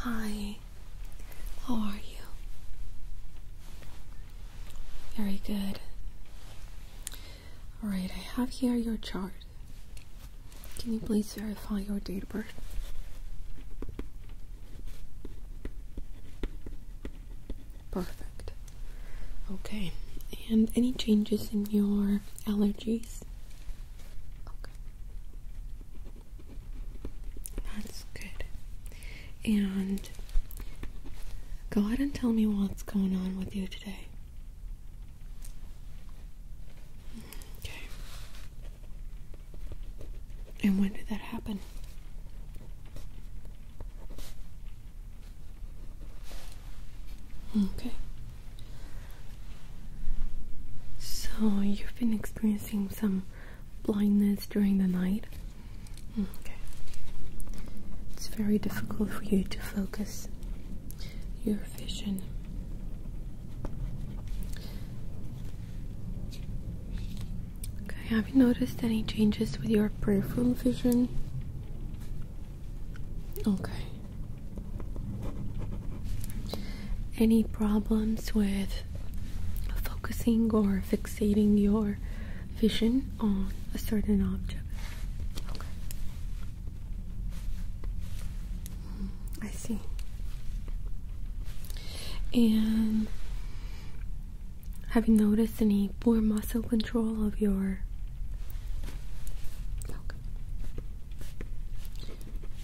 Hi, how are you? Very good. Alright, I have here your chart. Can you please verify your date of birth? Perfect. Okay. And any changes in your allergies? Okay. That's good. And go ahead and tell me what's going on with you today. Okay. And when did that happen? Okay. So you've been experiencing some blindness during the night. Okay. It's very difficult for you to focus your vision. Okay, have you noticed any changes with your peripheral vision? Okay. Any problems with focusing or fixating your vision on a certain object? Okay. Hmm, I see. And have you noticed any poor muscle control of your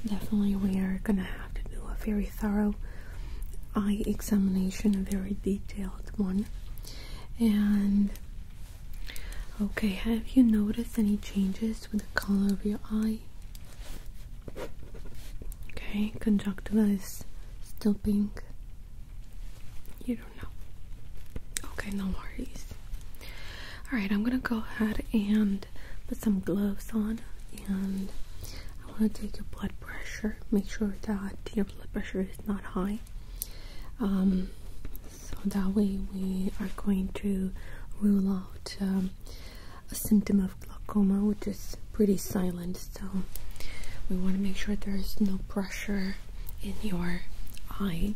Definitely we are gonna have to do a very thorough eye examination, a very detailed one. And okay, have you noticed any changes with the color of your eye? Okay, conjunctiva is still pink. You don't know. Okay, no worries. Alright, I'm gonna go ahead and put some gloves on and I wanna take your blood pressure. Make sure that your blood pressure is not high. Um, so that way we are going to rule out um, a symptom of glaucoma, which is pretty silent. So we want to make sure there is no pressure in your eye.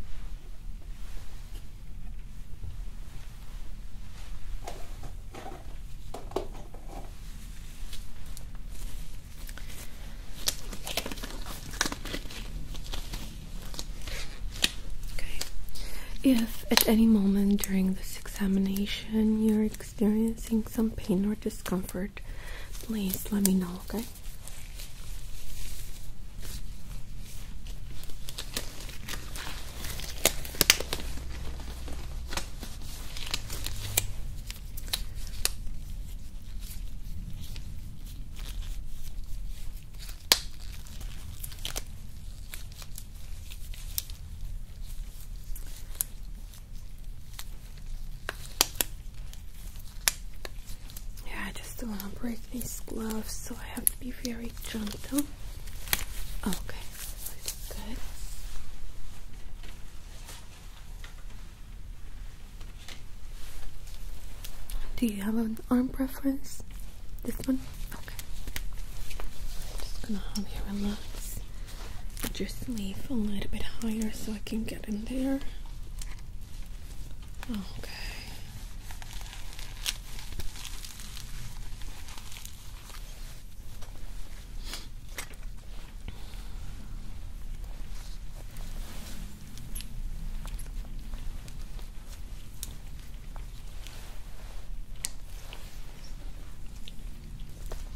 Okay. If at any moment during this examination you're experiencing some pain or discomfort, please let me know, okay? Yeah, I just don't want to break these gloves, so I have to be very gentle. Okay, good. Do you have an arm preference? This one? Okay. just gonna have you relax just leave a little bit higher so I can get in there. Okay.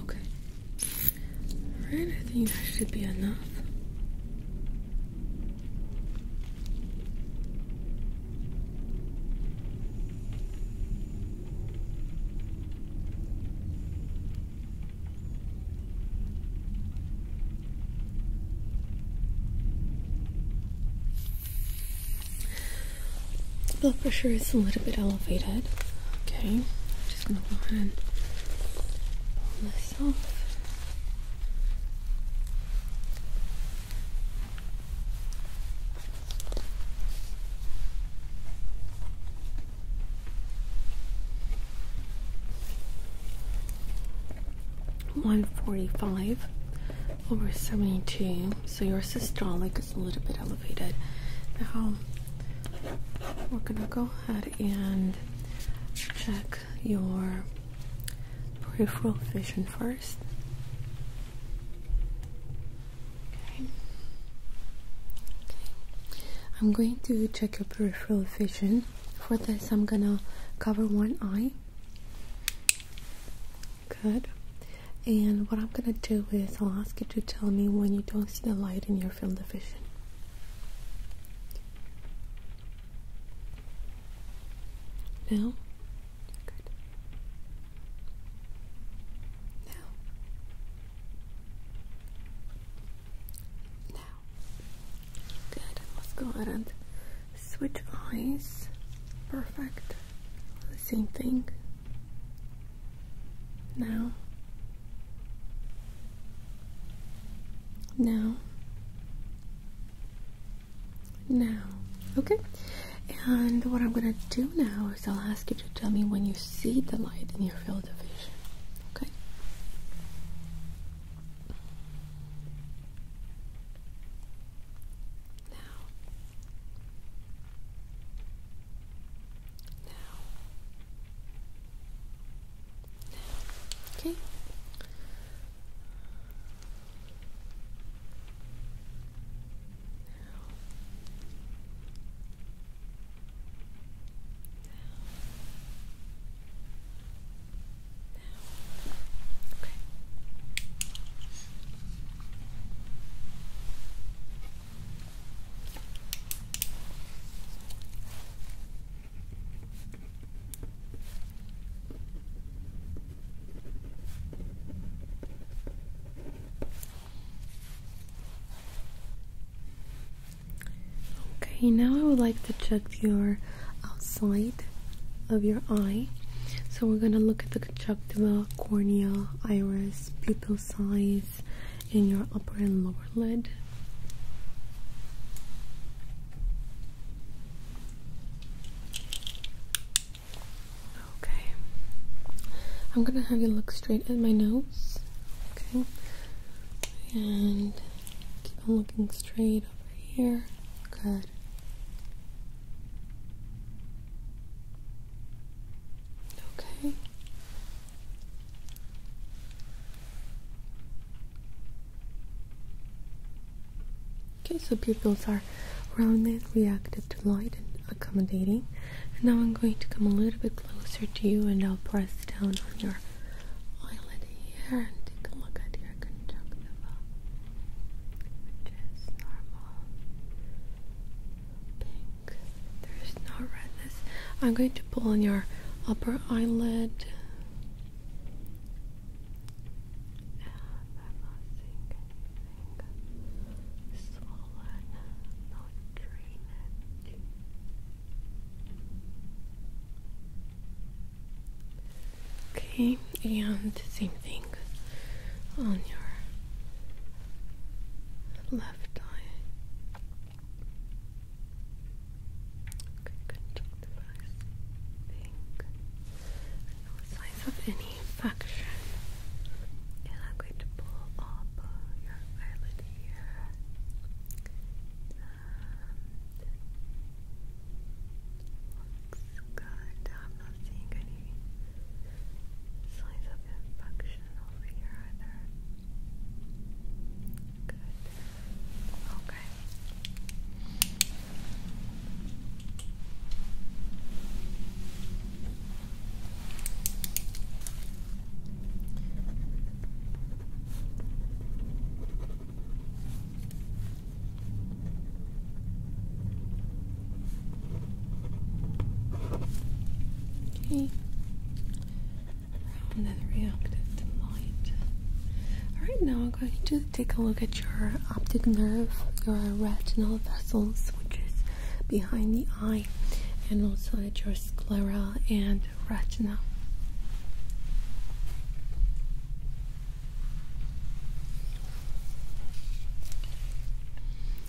Okay. Alright, I think that should be enough. Blood pressure is a little bit elevated. Okay, I'm just gonna go ahead and pull this off. One forty five over seventy two. So your systolic is a little bit elevated. Now we're gonna go ahead and check your peripheral vision first. Okay. okay. I'm going to check your peripheral vision. For this, I'm gonna cover one eye. Good. And what I'm going to do is I'll ask you to tell me when you don't see the light in your field of vision. Now? Good. Now? Now? Good. Let's go ahead and switch eyes. Perfect. The same thing. Now. Now. Now. Okay? And what I'm gonna do now is I'll ask you to tell me when you see the light in your field of vision. Okay? Now. Now. Now. Okay. Now. Now. Okay. Okay, now I would like to check your outside of your eye. So we're gonna look at the conjunctiva, cornea, iris, pupil size in your upper and lower lid. Okay. I'm gonna have you look straight at my nose. Okay. And keep on looking straight over here. Good. Okay. Okay, so pupils are rounded, reactive to light, and accommodating. And now I'm going to come a little bit closer to you and I'll press down on your eyelid here and take a look at your conjunctiva, which is normal. There is no redness. I'm going to pull on your upper eyelid. Okay, and same thing on your left eye. Okay, good job, device. No signs of any infection. And I'm going to pull up your eyelid here. Um, looks good. I'm not seeing any slice of infection over here either. Good. Okay. Okay. Round and light. Alright, now I'm going to take a look at your optic nerve, your retinal vessels, which is behind the eye, and also at your sclera and retina.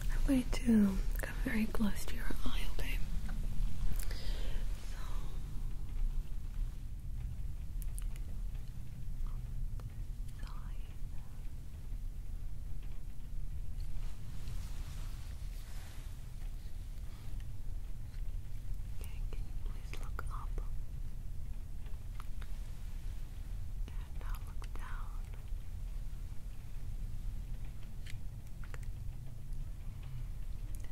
I'm going to come very close to your eye, okay? So Okay, can you please look up? And now look down.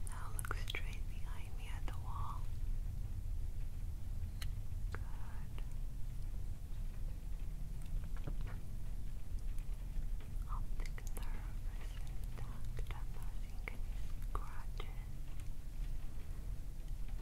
now look straight behind me at the wall. Good. Optic nerve is intact. I'm not seeing any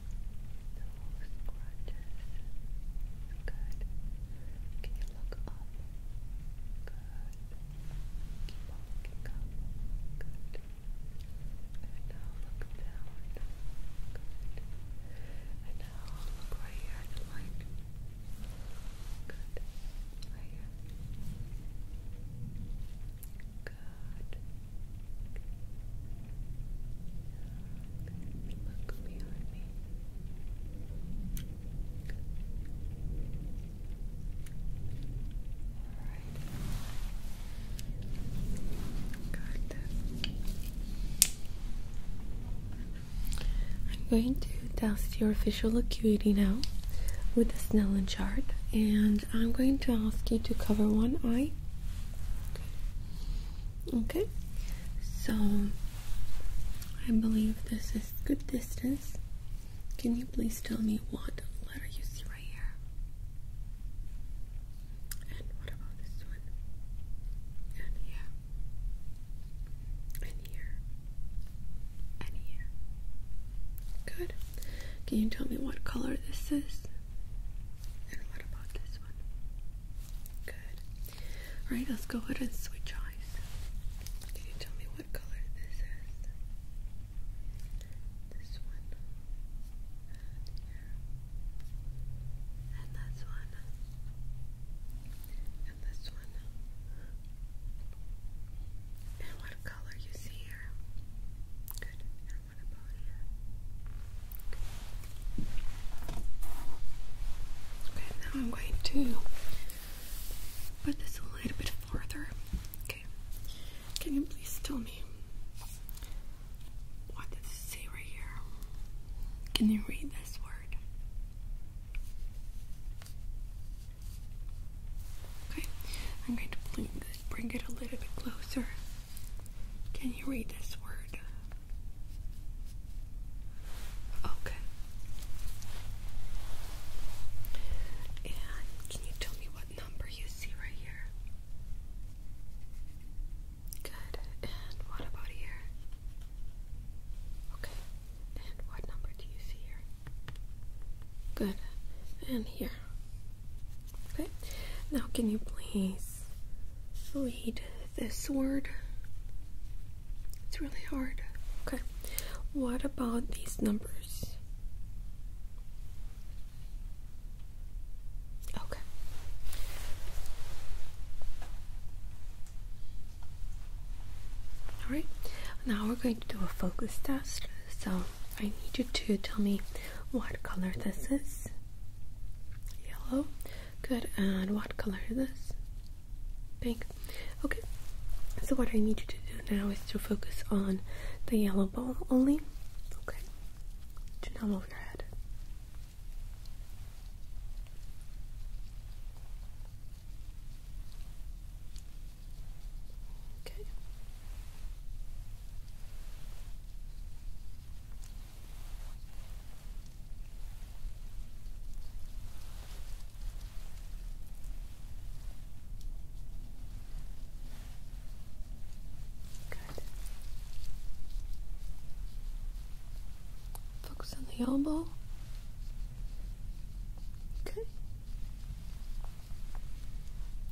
No scratches. Good. Can you up? Good. Keep looking up. Good. And now look down. Good. And now look right here Good. Right here. Good. I'm going to test your visual acuity now with the Snellen chart, and I'm going to ask you to cover one eye. okay. So I believe this is good distance. Can you please tell me what letter you see right here? And what about this one? And here. And here. Good. Can you tell me what color this is? And what about this one? Good. All right, let's go ahead and switch eyes. Can you tell me what color this is? This one. And this one. And this one. And what color you see here? Good. And what about here? Okay, now I'm going to put this a little bit farther. Okay, can you please tell me what does it say right here? Can you read this word? Okay, I'm going to bring it a little bit closer. Can you read this word? Okay. And can you tell me what number you see right here? Good. And what about here? Okay. And what number do you see here? Good. And here. Okay. Now, can you please read this word. It's really hard. Okay. What about these numbers? Okay. Alright, now we're going to do a focus test. So I need you to tell me what color this is. Yellow. Good, and what color is this? Pink. Okay, so what I need you to do now is to focus on the yellow ball only. Okay, do not move your head. Okay. Good. Focus on the elbow. Good.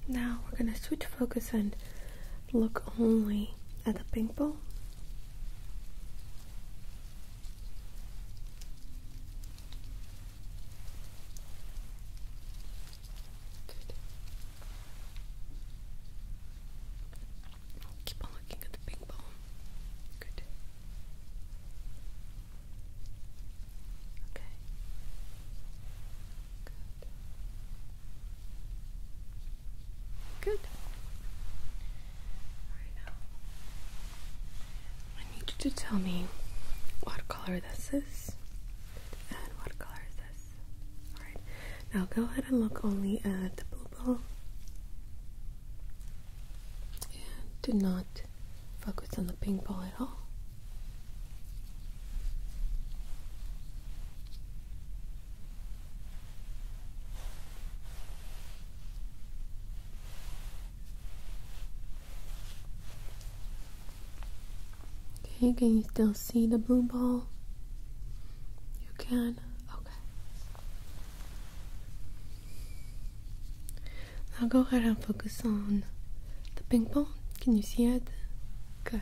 Now we're going to switch focus and look only at the pink ball. Keep on looking at the pink ball. Good. Alright now. I need you to tell me what color this is and what color this. Alright. Now go ahead and look only at the blue ball. And do not focus on the pink ball at all. Okay, can you still see the blue ball? You can? Okay. Now go ahead and focus on the pink ball. Can you see it? Good.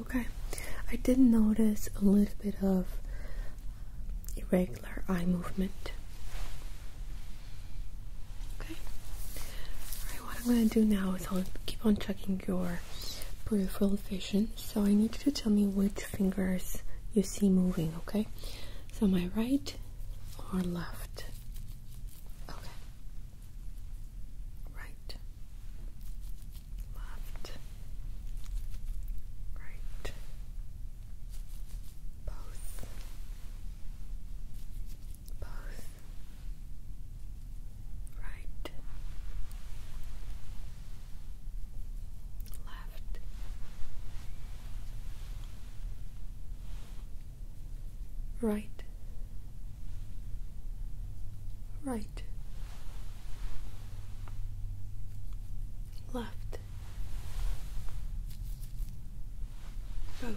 Okay, I did notice a little bit of irregular eye movement. Okay, Alright, what I'm going to do now is I'll keep on checking your peripheral vision. So I need you to tell me which fingers you see moving, okay? So my right or left? Okay. Right left, right, both, both, right, left, right, right, left, both,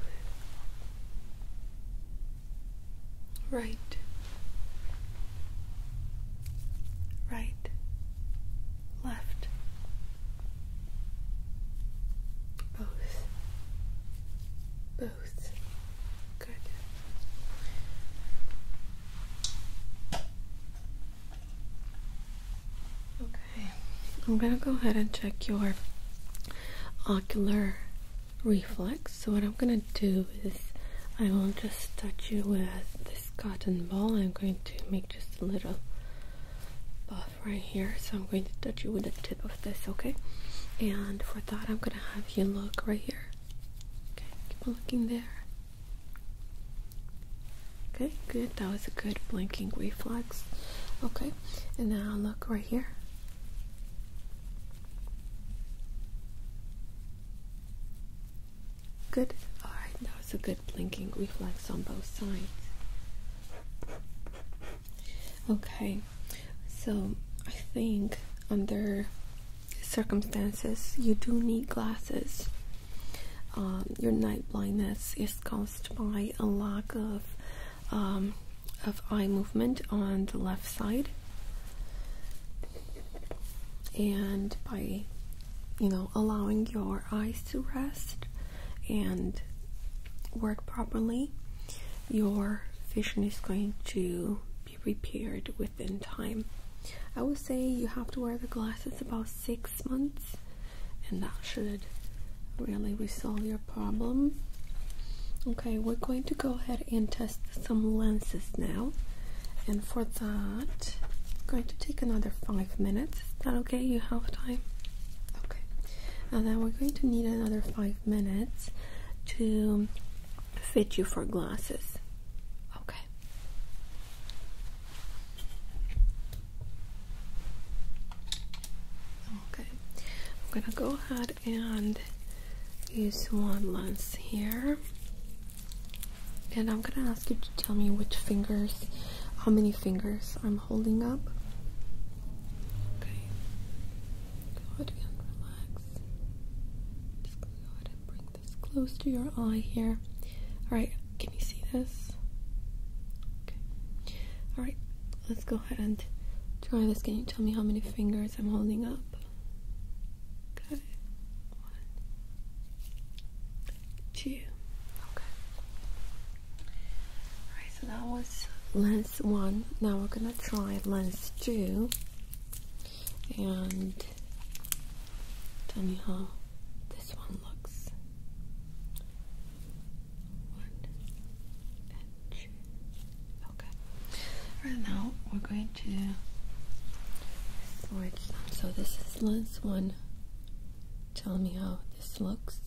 right, right, left. Both, both, Okay, I'm gonna go ahead and check your ocular reflex. So, what I'm gonna do is I will just touch you with this cotton ball. I'm going to make just a little buff right here. So, I'm going to touch you with the tip this, okay? And for that, I'm gonna have you look right here. Okay, keep looking there. Okay, good. That was a good blinking reflex. Okay, and now look right here. Good. All right, that was a good blinking reflex on both sides. Okay, so I think under circumstances you do need glasses. Um, your night blindness is caused by a lack of um, of eye movement on the left side and by you know allowing your eyes to rest and work properly your vision is going to be repaired within time. I would say you have to wear the glasses about six months, and that should really resolve your problem. Okay, we're going to go ahead and test some lenses now, and for that, I'm going to take another five minutes. Is that okay? You have time? Okay, and then we're going to need another five minutes to fit you for glasses. Okay. Okay. I'm going to go ahead and use one lens here. And I'm going to ask you to tell me which fingers, how many fingers I'm holding up. Okay. Go ahead and relax. Just go ahead and bring this close to your eye here. Alright, can you see this? Okay. Alright, let's go ahead and try this. Can you tell me how many fingers I'm holding up? Okay. One. Two. Okay. Alright, so that was one. Now we're gonna try lens two and tell me how this one looks. Okay. Right now we're going to switch So this is lens one. Tell me how this looks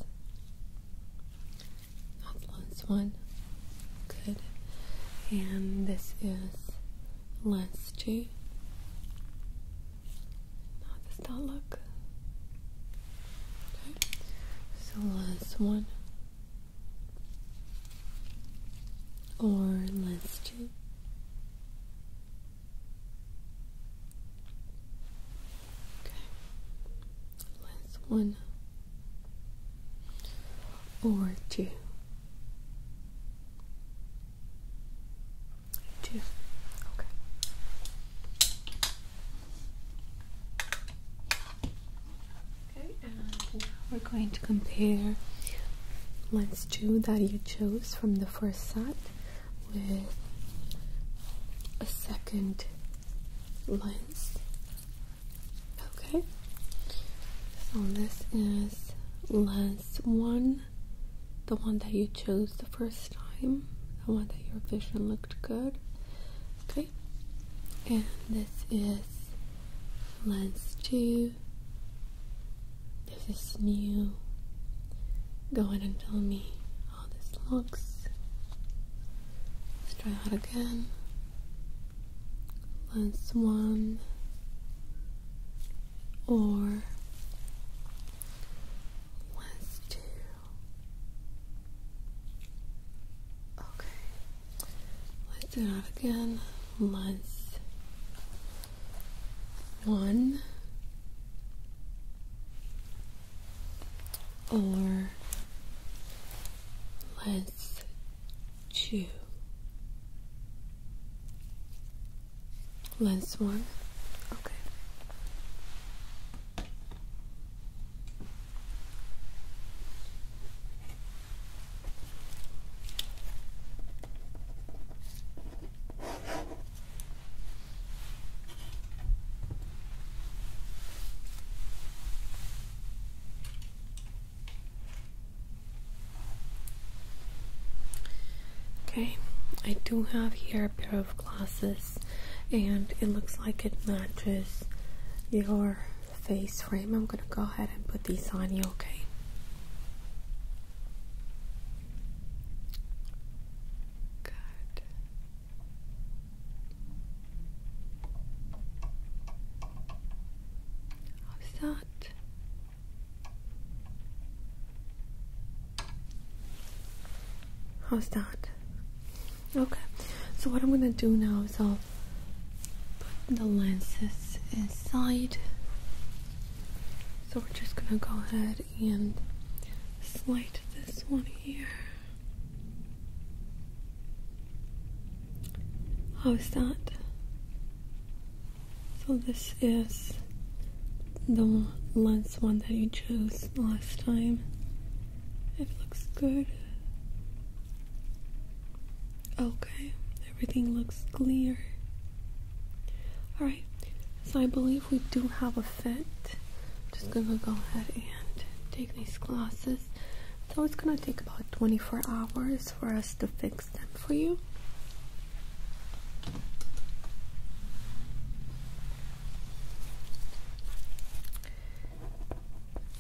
not the last one. Good. And this is last two. How does that look? Okay. So lens one or last two. Okay. Lens one or two. Okay. Okay, and we're going to compare lens two that you chose from the first set with a second lens. Okay, so this is lens one, the one that you chose the first time, the one that your vision looked good. Okay, and this is lens two. This is new. Go in and tell me how this looks. Let's try that again. Less one or less two. Okay. Let's do that again. Less one or let's chew. Last one. Okay. Okay, I do have here a pair of glasses, and it looks like it matches your face frame. I'm gonna go ahead and put these on you, okay? of that. How's that? Okay, so what I'm gonna do now is I'll put the lenses inside. So we're just gonna go ahead and slide this one here. How is that? So this is the lens one that you chose last time. It looks good. Okay, everything looks clear. Alright, so I believe we do have a fit. just gonna go ahead and take these glasses. So it's gonna take about 24 hours for us to fix them for you.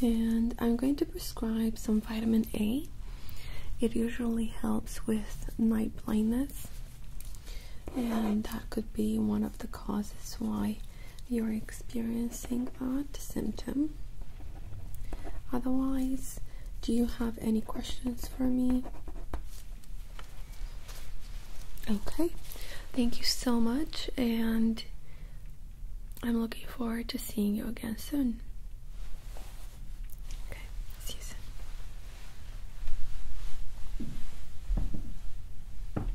And I'm going to prescribe some vitamin A. It usually helps with night blindness, and that could be one of the causes why you're experiencing that symptom. Otherwise, do you have any questions for me? Okay, thank you so much, and I'm looking forward to seeing you again soon. Okay, see you